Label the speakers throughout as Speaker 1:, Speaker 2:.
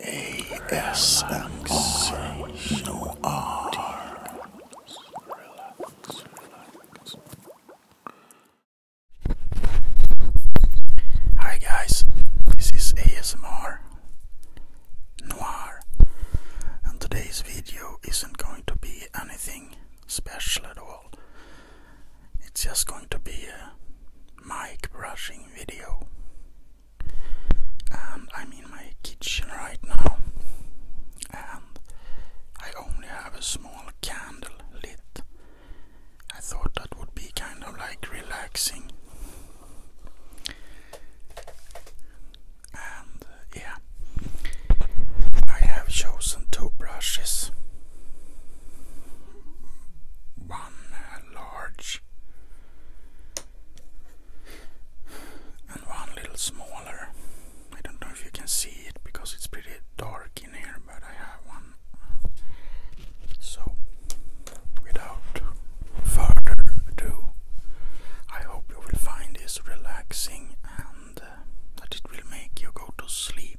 Speaker 1: ASMR. Hi guys, this is ASMR Noir, and today's video isn't going to be anything special at all. It's just going to be a mic brushing video and I'm in my kitchen right now and I only have a small candle lit. I thought that would be kind of like relaxing. And uh, yeah, I have chosen two brushes. One uh, and one little smaller. I don't know if you can see it because it's pretty dark in here, but I have one. So, without further ado, I hope you will find this relaxing and uh, that it will make you go to sleep.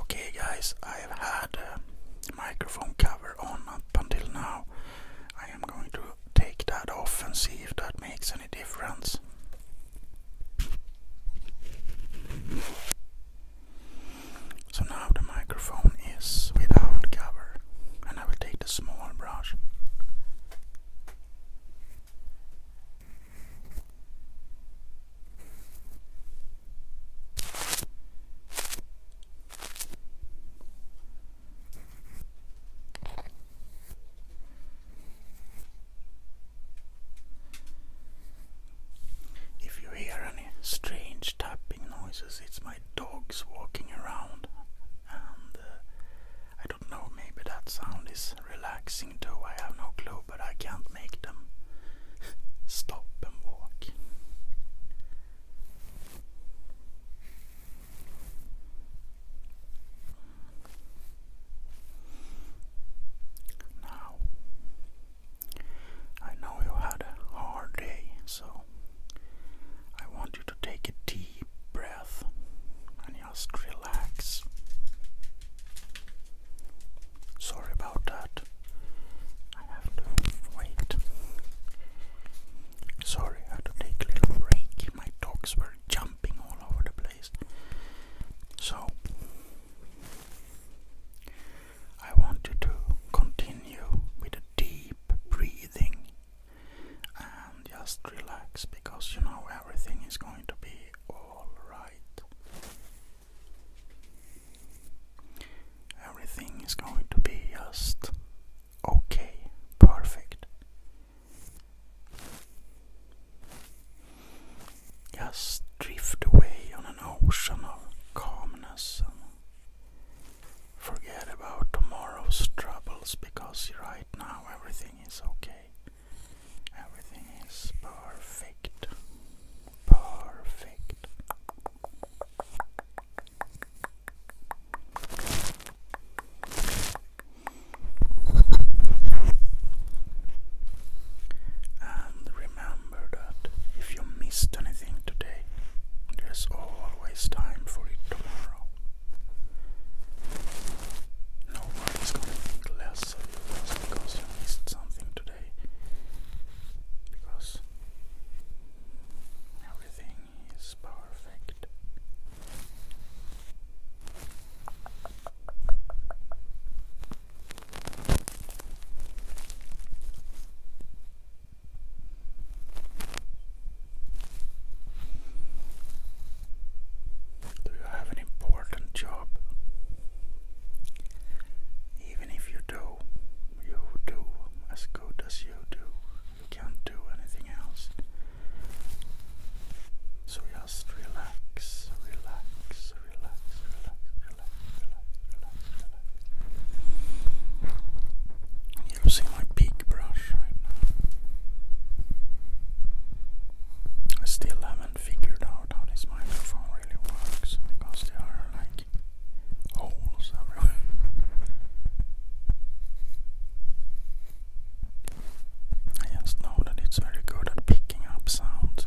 Speaker 1: Okay guys, I have had a uh, microphone cover on up until now. I am going to take that off and see if that makes any difference. So now the microphone is without cover and I will take the small brush. If you hear any strange tapping noises, it's my dogs walking around, and uh, don't know, maybe that sound is relaxing too. I have no clue, but I can't make them stop and walk. Now, I know you had a hard day, so I want you to take a deep breath just relax. Sorry about that. I have to wait. Sorry, had to take a little break. My dogs were jumping all over the place. So, I want you to continue with deep breathing and just relax because you know everything is going to be alright. Everything is going to be just okay, perfect. Just drift away on an ocean of calmness forget about tomorrow's troubles because right now everything is okay. Everything is perfect. Perfect. And remember that if you missed anything today, there's always time for it tomorrow. No going to think less of you because you missed something today. Because everything is perfect. Do you have an important job? Even if you do, you do as good as you do. You can't do anything else. So just relax, relax, relax, relax, relax, relax, relax, relax. I'm using my big brush right now. I still haven't figured out how this microphone really works because there are like holes I just know that it's very good at picking up sounds.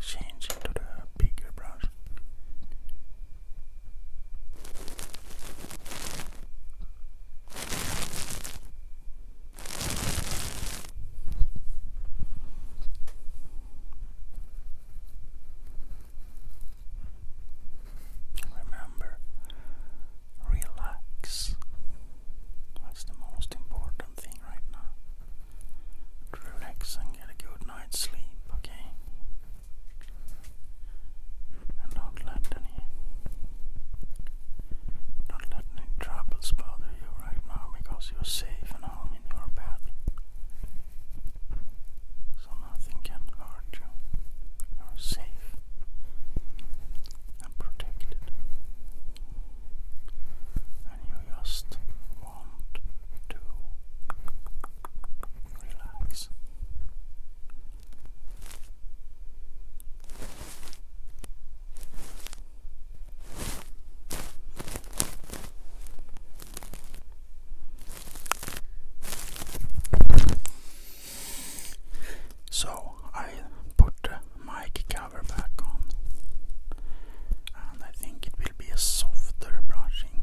Speaker 1: Change into the bigger brush. Remember, relax. That's the most important thing right now. Relax and get a good night's sleep, okay? and not let any not let any troubles bother you right now because you're safe and home in your bed. So nothing can hurt you. You're safe and protected. And you just want to relax so I put the mic cover back on, and I think it will be a softer brushing.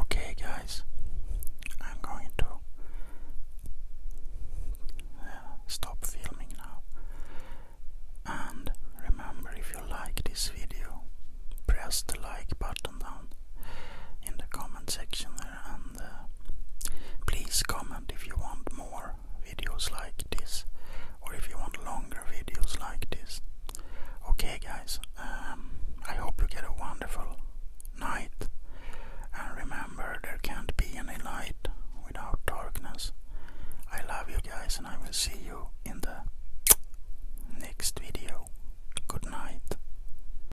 Speaker 1: Okay, guys, I'm going to uh, stop filming now. And remember, if you like this video, press the like button down in the comment section and uh, please comment if you want more videos like this or if you want longer videos like this. Okay guys, um, I hope you get a wonderful night and remember there can't be any light without darkness. I love you guys and I will see you in the next video. Good night.